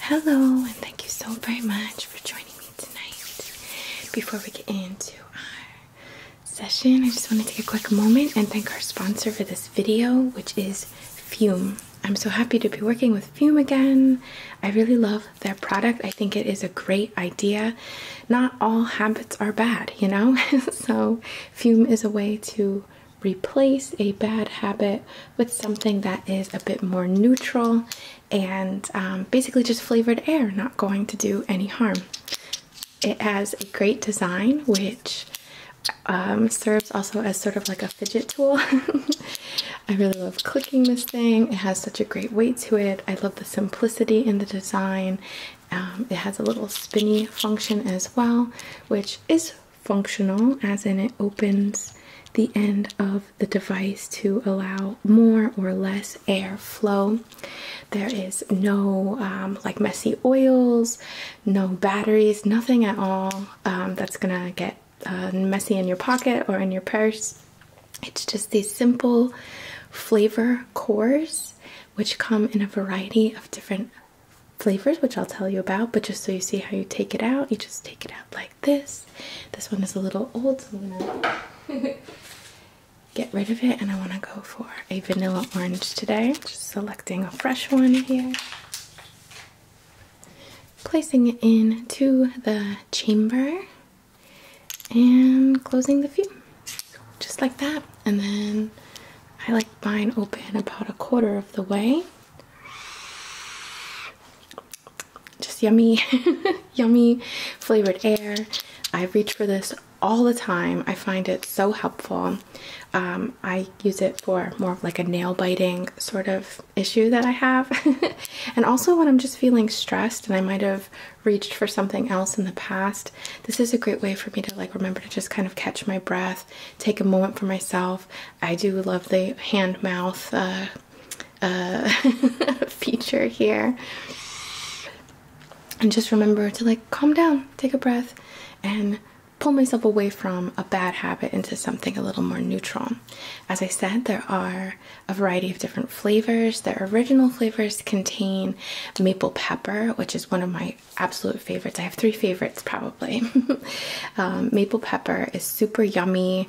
Hello, and thank you so very much for joining me tonight. Before we get into our session, I just want to take a quick moment and thank our sponsor for this video, which is Fume. I'm so happy to be working with Fume again. I really love their product. I think it is a great idea. Not all habits are bad, you know? so, Fume is a way to replace a bad habit with something that is a bit more neutral and um, basically just flavored air, not going to do any harm. It has a great design, which um, serves also as sort of like a fidget tool. I really love clicking this thing. It has such a great weight to it. I love the simplicity in the design. Um, it has a little spinny function as well, which is functional, as in it opens the end of the device to allow more or less air flow. There is no um, like messy oils, no batteries, nothing at all um, that's gonna get uh, messy in your pocket or in your purse. It's just these simple flavor cores which come in a variety of different flavors, which I'll tell you about, but just so you see how you take it out, you just take it out like this. This one is a little old, so I'm gonna get rid of it. And I want to go for a vanilla orange today. Just selecting a fresh one here, placing it into the chamber, and closing the fume just like that. And then I like bind open about a quarter of the way just yummy, yummy flavored air. I reach for this all the time. I find it so helpful. Um, I use it for more of like a nail biting sort of issue that I have. and also when I'm just feeling stressed and I might have reached for something else in the past, this is a great way for me to like remember to just kind of catch my breath, take a moment for myself. I do love the hand mouth uh, uh, feature here. And just remember to like calm down, take a breath, and pull myself away from a bad habit into something a little more neutral. As I said, there are a variety of different flavors. Their original flavors contain maple pepper, which is one of my absolute favorites. I have three favorites probably probably. Um, maple pepper is super yummy,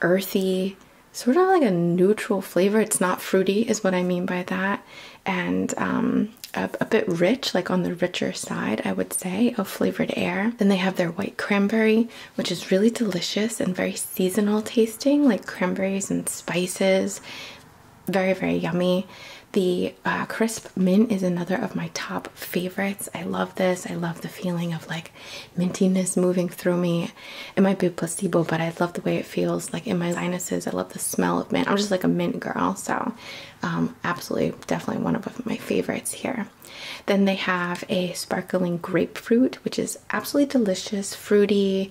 earthy, sort of like a neutral flavor. It's not fruity, is what I mean by that, and um, a, bit rich, like on the richer side, I would say, of flavored air. Then they have their white cranberry, which is really delicious and very seasonal tasting, like cranberries and spices. Very, very yummy. The uh, crisp mint is another of my top favorites. I love this. I love the feeling of like mintiness moving through me. It might be a placebo, but I love the way it feels like in my sinuses. I love the smell of mint. I'm just like a mint girl, so um, absolutely, definitely one of my favorites here. Then they have a sparkling grapefruit, which is absolutely delicious, fruity,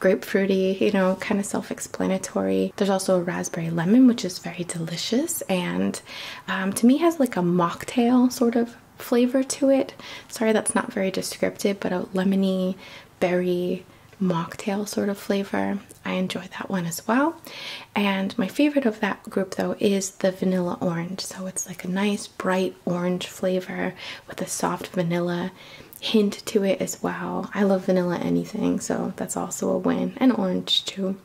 grapefruity, you know, kind of self explanatory. There's also a raspberry lemon, which is very delicious and um, to me has like a mocktail sort of flavor to it. Sorry, that's not very descriptive, but a lemony berry mocktail sort of flavor. I enjoy that one as well. And my favorite of that group though is the vanilla orange. So it's like a nice bright orange flavor with a soft vanilla hint to it as well. I love vanilla anything, so that's also a win. And orange too.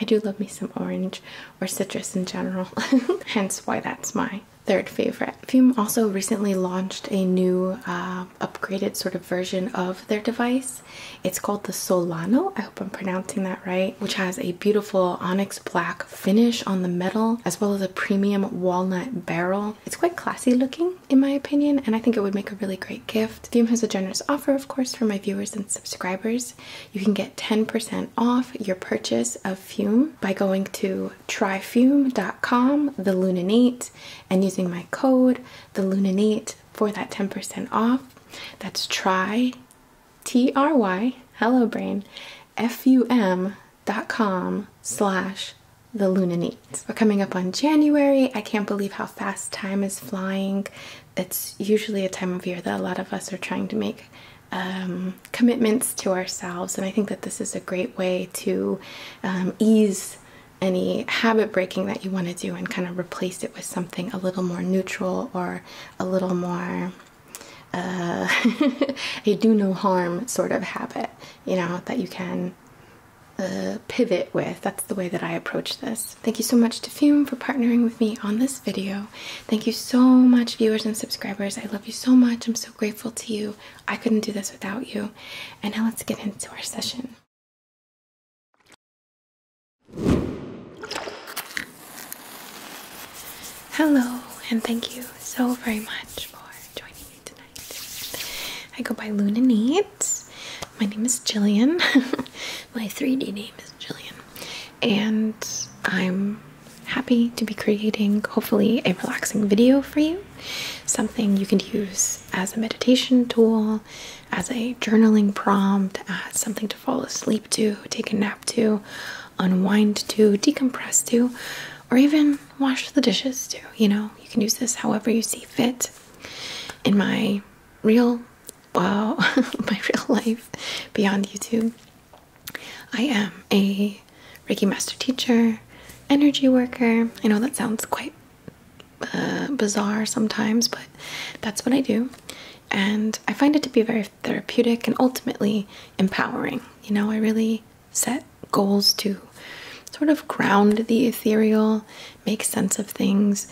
I do love me some orange or citrus in general, hence why that's my third favorite. Fume also recently launched a new uh, upgraded sort of version of their device. It's called the Solano, I hope I'm pronouncing that right, which has a beautiful onyx black finish on the metal as well as a premium walnut barrel. It's quite classy looking in my opinion and I think it would make a really great gift. Fume has a generous offer of course for my viewers and subscribers you can get 10% off your purchase of Fume by going to tryfume.com, the Lunanate, and using my code, the Lunanate, for that 10% off. That's try, T R Y, hello brain, F U M dot com slash the Lunanate. We're coming up on January. I can't believe how fast time is flying it's usually a time of year that a lot of us are trying to make um, commitments to ourselves, and I think that this is a great way to um, ease any habit breaking that you want to do and kind of replace it with something a little more neutral or a little more uh, a do no harm sort of habit, you know, that you can uh, pivot with. That's the way that I approach this. Thank you so much to Fume for partnering with me on this video. Thank you so much, viewers and subscribers. I love you so much. I'm so grateful to you. I couldn't do this without you. And now let's get into our session. Hello, and thank you so very much for joining me tonight. I go by Luna Needs. My name is Jillian. My 3D name is Jillian. And I'm happy to be creating hopefully a relaxing video for you, something you can use as a meditation tool, as a journaling prompt, as something to fall asleep to, take a nap to, unwind to, decompress to, or even wash the dishes to. You know, you can use this however you see fit. In my real, wow, my real life beyond YouTube, I am a Reiki master teacher, energy worker. I know that sounds quite uh, bizarre sometimes, but that's what I do. And I find it to be very therapeutic and ultimately empowering. You know, I really set goals to sort of ground the ethereal, make sense of things,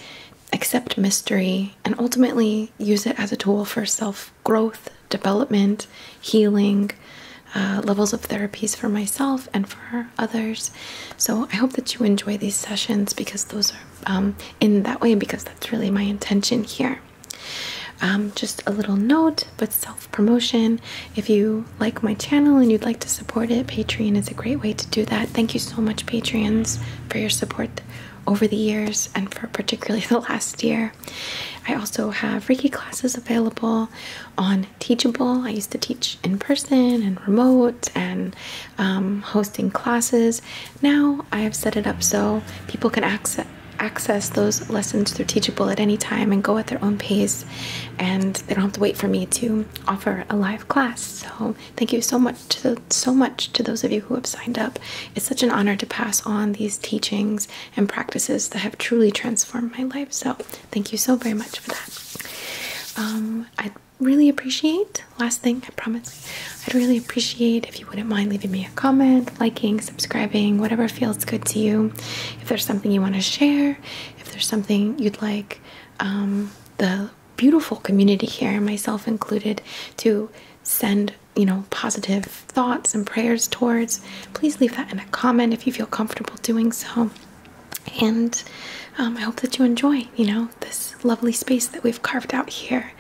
accept mystery, and ultimately use it as a tool for self growth, development, healing, uh, levels of therapies for myself and for others. So I hope that you enjoy these sessions because those are um, in that way, because that's really my intention here. Um, just a little note, but self promotion. If you like my channel and you'd like to support it, Patreon is a great way to do that. Thank you so much, Patreons, for your support over the years and for particularly the last year. I also have Reiki classes available on Teachable. I used to teach in person and remote and um, hosting classes. Now I have set it up so people can access access those lessons through Teachable at any time and go at their own pace, and they don't have to wait for me to offer a live class. So thank you so much to so much to those of you who have signed up. It's such an honor to pass on these teachings and practices that have truly transformed my life. So, thank you so very much for that. Um, I'd really appreciate, last thing, I promise, I'd really appreciate if you wouldn't mind leaving me a comment, liking, subscribing, whatever feels good to you. If there's something you want to share, if there's something you'd like um, the beautiful community here, myself included, to send you know, positive thoughts and prayers towards, please leave that in a comment if you feel comfortable doing so. And um, I hope that you enjoy, you know, this lovely space that we've carved out here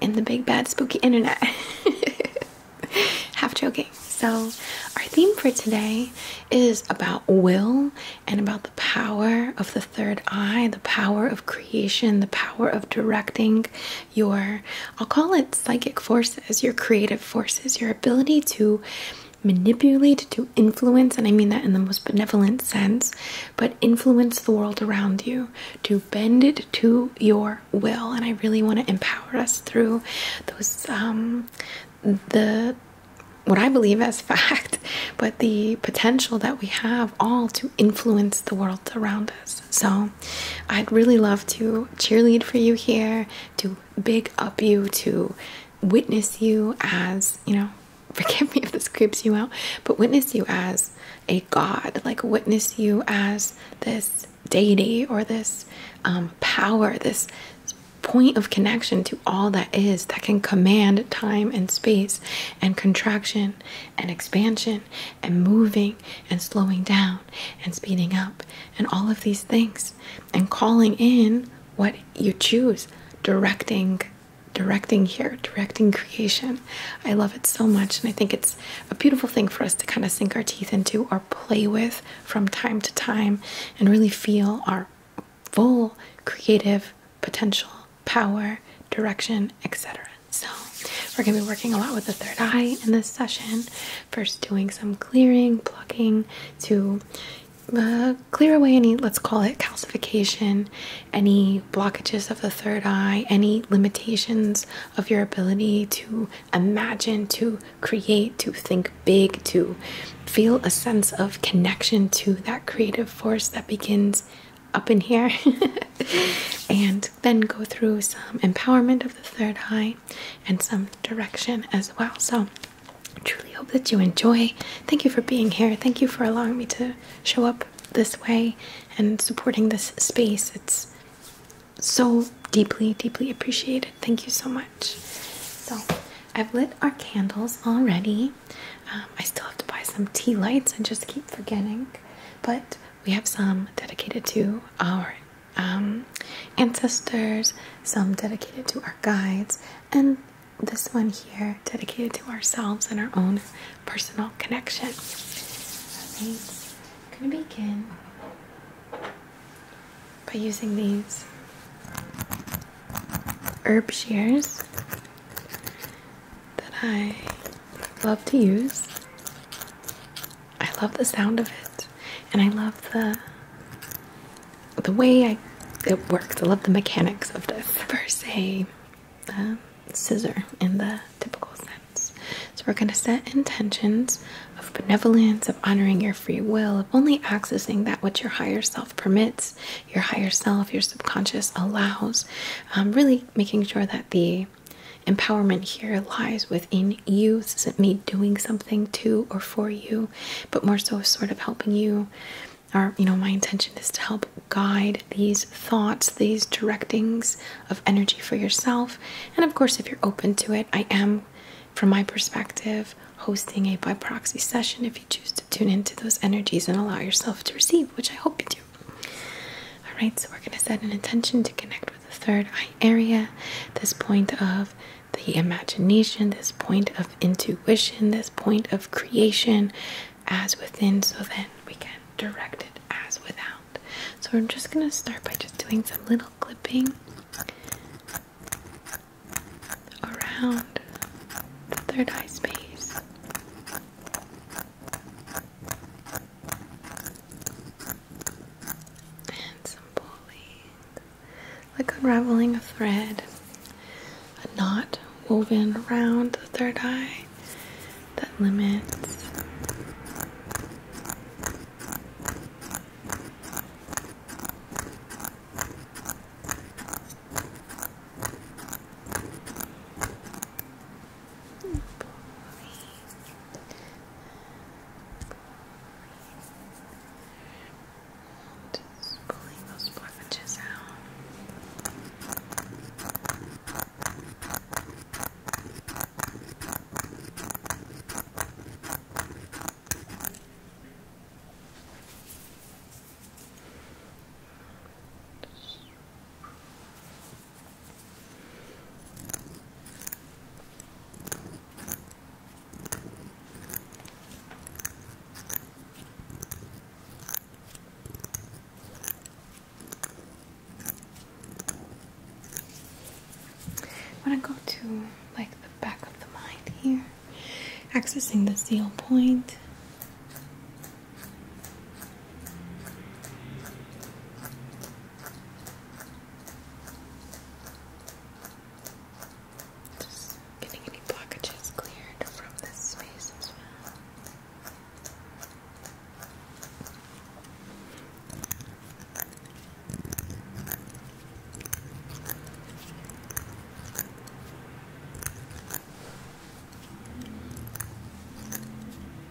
in the big, bad, spooky internet. Half joking. So, our theme for today is about will and about the power of the third eye, the power of creation, the power of directing your, I'll call it psychic forces, your creative forces, your ability to manipulate, to influence, and I mean that in the most benevolent sense, but influence the world around you, to bend it to your will. And I really want to empower us through those, um, the what I believe as fact, but the potential that we have all to influence the world around us. So I'd really love to cheerlead for you here, to big up you, to witness you as, you know, forgive me if this creeps you out, but witness you as a god, like witness you as this deity or this um, power, this point of connection to all that is that can command time and space and contraction and expansion and moving and slowing down and speeding up and all of these things and calling in what you choose directing directing here directing creation i love it so much and i think it's a beautiful thing for us to kind of sink our teeth into or play with from time to time and really feel our full creative potential power direction etc so, we're going to be working a lot with the third eye in this session. First, doing some clearing, plucking to uh, clear away any, let's call it calcification, any blockages of the third eye, any limitations of your ability to imagine, to create, to think big, to feel a sense of connection to that creative force that begins up in here and then go through some empowerment of the third eye and some direction as well. So, truly hope that you enjoy. Thank you for being here. Thank you for allowing me to show up this way and supporting this space. It's so deeply, deeply appreciated. Thank you so much. So, I've lit our candles already. Um, I still have to buy some tea lights and just keep forgetting, but we have some dedicated to our um, ancestors, some dedicated to our guides, and this one here dedicated to ourselves and our own personal connection. I'm going to begin by using these herb shears that I love to use. I love the sound of it, and I love the the way I, it works. I love the mechanics of this. First, a scissor in the typical sense. So we're going to set intentions of benevolence, of honoring your free will, of only accessing that which your higher self permits, your higher self, your subconscious allows. Um, really making sure that the Empowerment here lies within you. This isn't me doing something to or for you, but more so sort of helping you. Or, you know, my intention is to help guide these thoughts, these directings of energy for yourself. And of course, if you're open to it, I am, from my perspective, hosting a by proxy session if you choose to tune into those energies and allow yourself to receive, which I hope you do. Alright, so we're going to set an intention to connect with the third eye area, this point of the imagination, this point of intuition, this point of creation as within, so then we can direct it as without. So we're just going to start by just doing some little clipping around the third eye space. And some pulling, like unraveling a thread, a knot woven around the third eye that limits. Boring. Boring. Just pulling those blockages out. I want to go to like the back of the mind here, accessing the seal point. Just getting any blockages cleared from this space as well.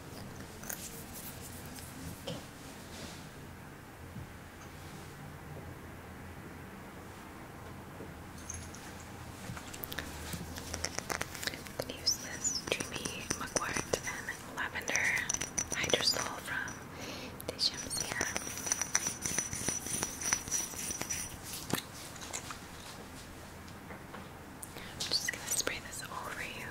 okay. I'm gonna use this Dreamy Mugwort and Lavender Hydrosol from Deschamps here. Okay. I'm just gonna spray this over you.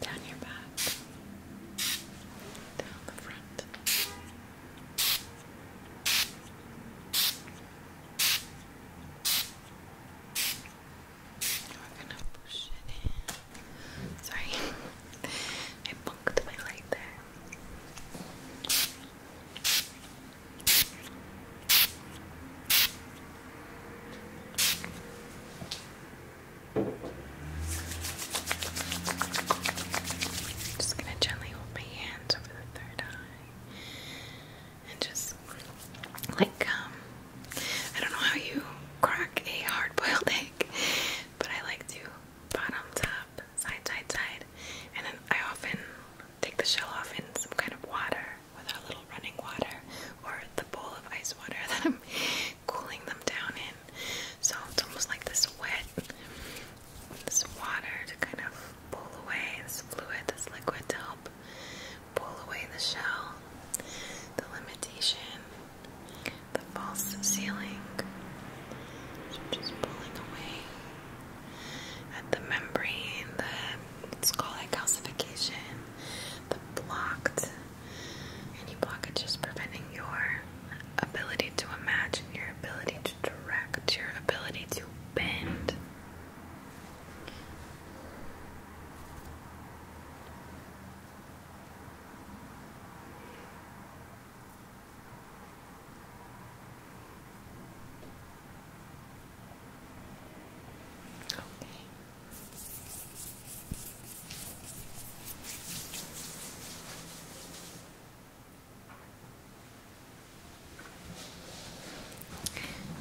Down your back down the front. We're gonna push it in. Sorry, I bunked my light there. I'm Just gonna gently hold my hands over the third eye and just like um I don't know how you crack a hard boiled egg, but I like to bottom top, side side side, and then I often take the shell off in some kind of water, with a little running water or the bowl of ice water that I'm cooling them down in. So it's almost like this wet, this water to kind of pull away, this fluid, this liquid to help pull away the shell, the limitation, the false ceiling. So just pulling away at the membrane, the, let's calcification, the blocked any blockage is preventing your ability to imagine, your ability to direct, your ability to bend.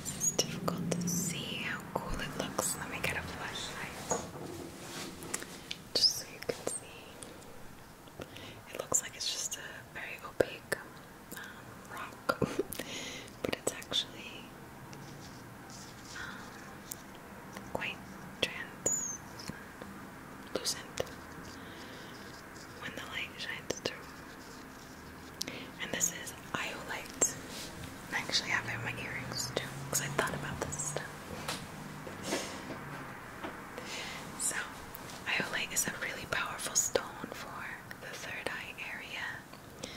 This difficult to see how cool it looks. Let me get a flashlight. Just so you can see. It looks like it's just a very opaque um, rock, but it's actually um, quite translucent when the light shines through. And this is Iolite. I actually have in my earrings too, because I thought about this stuff. So, Iolite is a really powerful stone for the third eye area.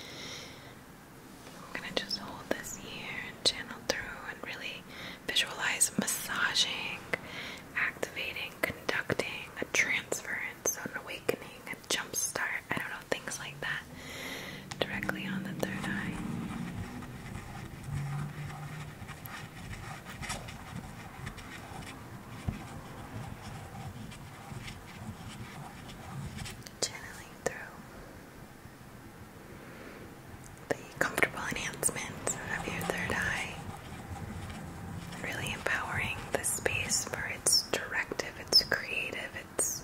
I'm gonna just hold this here and channel through and really Visualize massaging, activating, conducting, a transfer, transference, an awakening, and jump start, I don't know, things like that directly on the third eye. Channeling through. The comfortable enhancement of your third eye, really empowering the space for its directive, its creative, its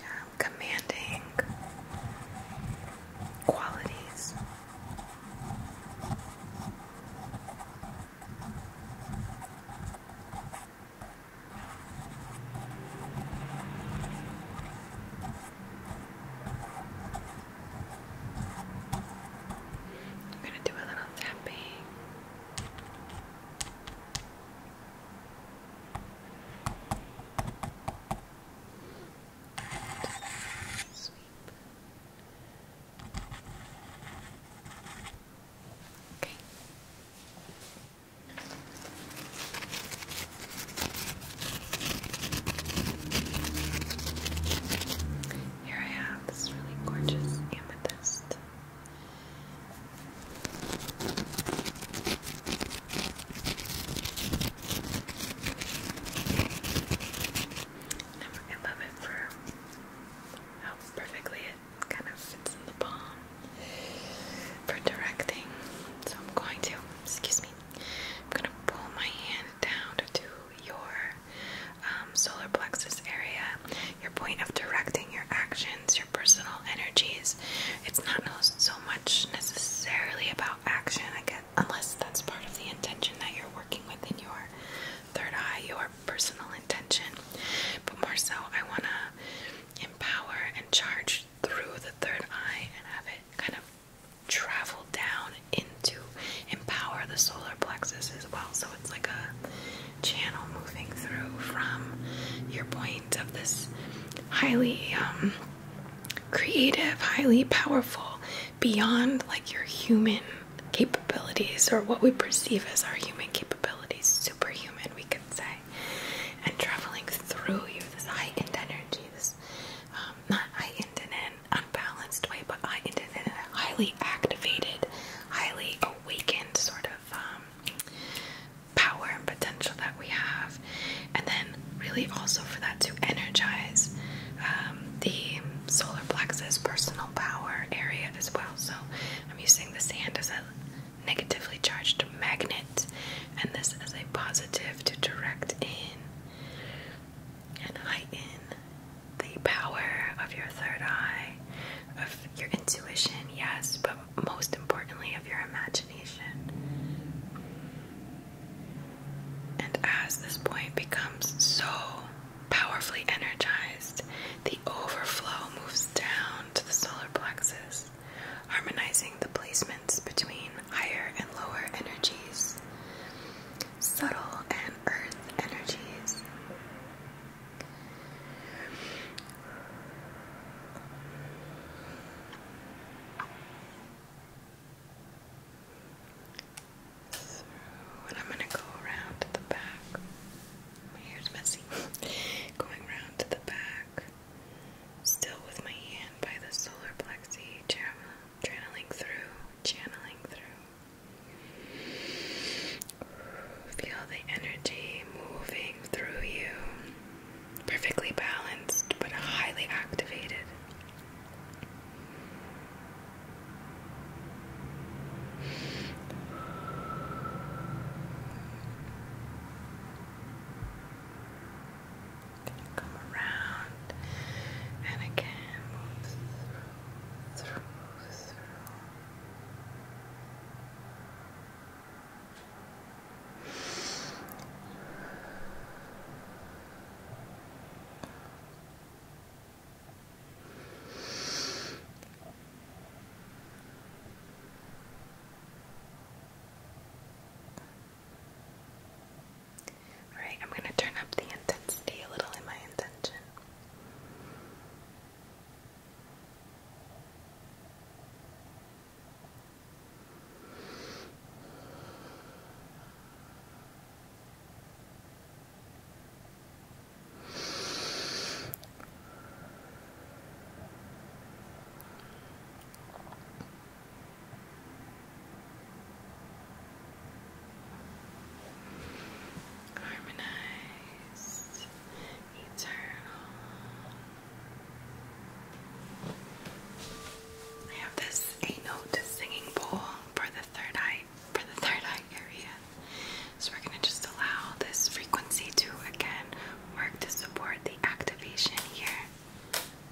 um, commanding qualities. I'm going to do a little tapping. Okay. Here I have this really gorgeous amethyst. I love it for how perfectly it kind of fits in the palm for directing. So I'm going to, excuse me, I'm going to pull my hand down to your um, solar plexus area, your point of directing your actions, your personal energies. It's not so much necessarily about action, unless that's part of the intention that you're working within your third eye, your personal intention. But more so, I want to empower and charge through the third eye and have it kind of travel down into empower the solar plexus as well. So it's like a channel moving through from your point of this highly um, creative, highly powerful, beyond like your human capabilities or what we perceive as our human capabilities, superhuman, we could say, and traveling through you, this heightened energy, this um, not I ended in an unbalanced way, but I ended in a highly activated, highly awakened sort of um, power and potential that we have. And then, really, also for that to energize um, the solar plexus personal power area as well. So, I'm using the sand as a negatively charged magnet, and this as a positive to direct in and the power of your third eye, of your intuition, yes, but most importantly, of your imagination. And as this point becomes so powerfully energized, the overflow moves down to the solar plexus, harmonizing the placements between higher and lower energies, subtle and earth energies. So, I'm going to go around to the back. My hair's messy. Going around to the back. Still with my hand by the solar plexi, channeling through, channeling through. Feel the energy moving through you. Perfectly balanced, but highly activated gonna come around and again move through, through, through. Alright, I'm going to turn up the intensity a little in my intention. Harmonized, eternal. I have this eight note singing bowl for the third eye for the third eye area. So we're gonna just allow this frequency to again work to support the activation here.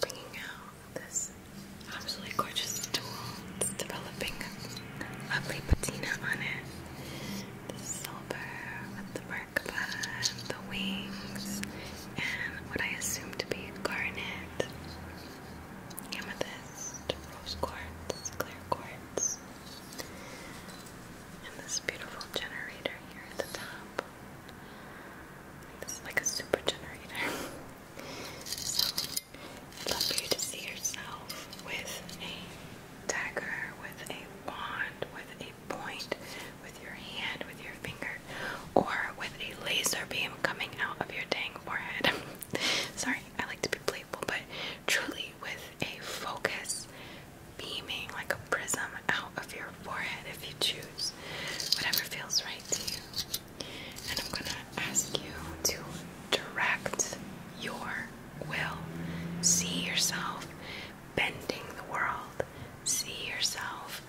Bringing out this absolutely gorgeous tool. It's developing a lovely patina on it. The silver the workband, the wings, and what I assume to be garnet amethyst, rose quartz, clear quartz, and this beautiful generator here at the top. This is like a super generator. so I'd love for you to see yourself with a dagger, with a wand, with a point, with your hand, with your finger, or with a laser beam coming out of your dang forehead. Sorry, I like to be playful, but truly with a focus beaming like a prism out of your forehead if you choose. Whatever feels right to you. And I'm gonna ask you to direct your will. See yourself bending the world. See yourself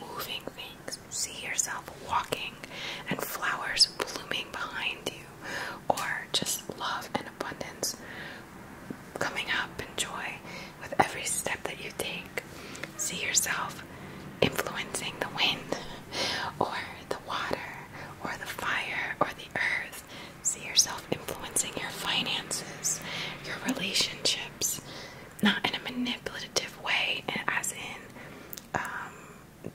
moving things see yourself walking and flowers blooming behind you, or just love and abundance coming up and joy with every step that you take. See yourself influencing the wind, or the water, or the fire, or the earth. See yourself influencing your finances, your relationships, not in a manipulative way, as in um,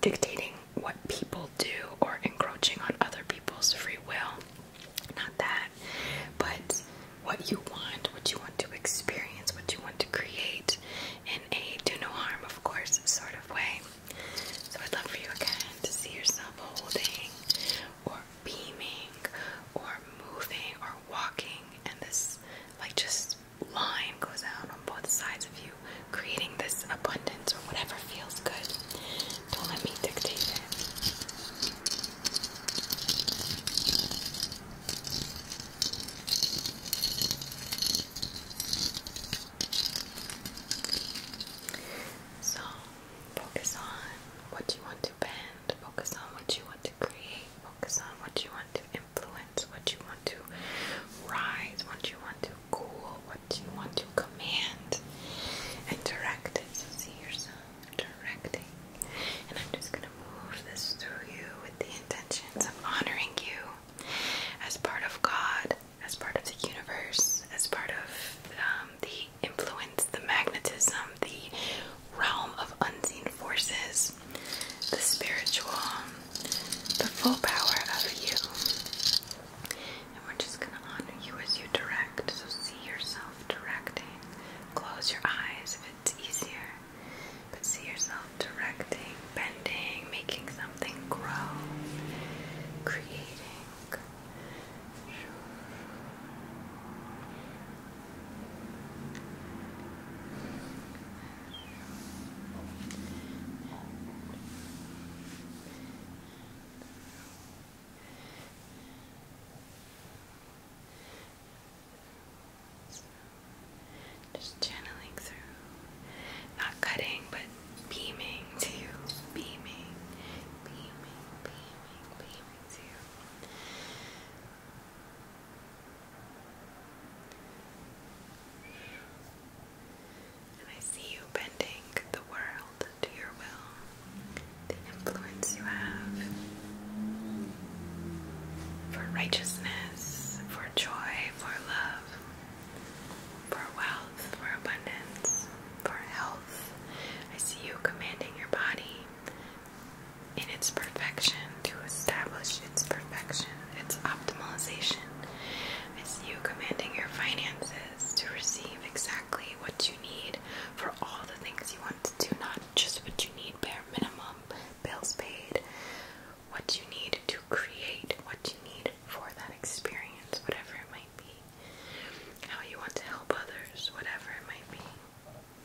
dictating what people do or encroaching on other people's free will. Not that, but what you want, what you want to experience, what you want to create in a do no harm, of course, sort of way. So I'd love for you again to see yourself holding or beaming or moving or walking and this, like, just line goes out on both sides of you, creating this abundance or whatever feels good. Don't let me dictate it. So, focus on what you want to bend, focus on what you want to create, focus on what you want to influence, what you want to rise, what you want to cool, what you want to command direct it. see yourself directing. And I'm just going to move this through you with the intentions of honoring you as part of God, as part of the universe, as part of um, the influence, the magnetism, the realm of unseen forces, the spiritual the full power of you. And we're just going to honor you as you direct. So see yourself directing. Close your eyes if it's easier. But see yourself directing, bending, making something grow, creating. Just channeling through, not cutting, but beaming to you, beaming, beaming, beaming, beaming to you. And I see you bending the world to your will, the influence you have for righteousness, for joy, for love, for wealth, for abundance, for health. I see you commanding your body in its perfection to establish its perfection it's optimization. It's you commanding your finances to receive exactly what you need for all the things you want to do, not just what you need bare minimum, bills paid, what you need to create, what you need for that experience, whatever it might be, how you want to help others, whatever it might be.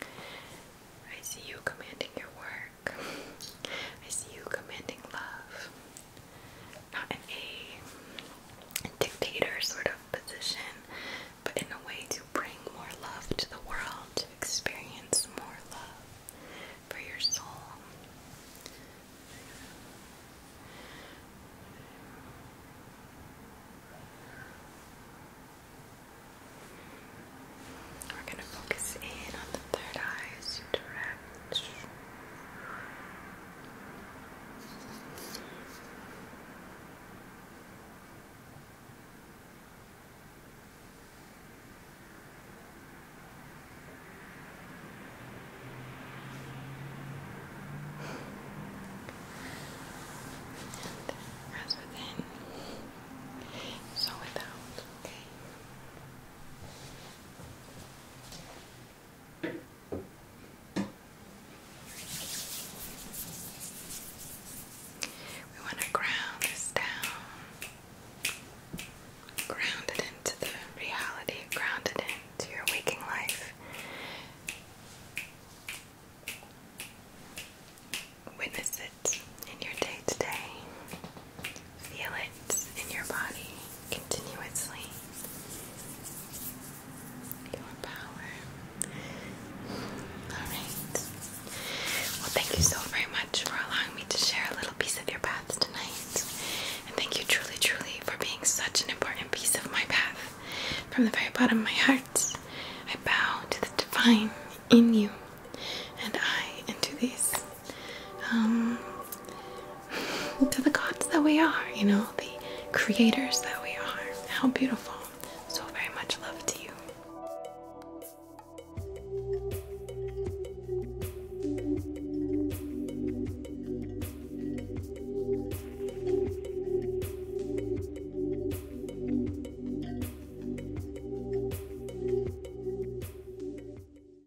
I see you commanding your work. I see you commanding love. Not in a dictator sort of position, but in a way to bring more love to the world, to experience more love for your soul. We're going to focus in on the third eye as you direct rather than so without, okay. We want to ground this down. Ground it into the reality, ground it into your waking life. Witness it in your day to day. Feel it in your body continuously. Your power. Alright. Well, thank you so very much for allowing me to share a little piece of your path tonight. And thank you truly, truly for being such an important piece of my path. From the very bottom of my heart, I bow to the divine in you, and I into these um, to the gods that we are, you know, the creators that we are. How beautiful. So very much love to you.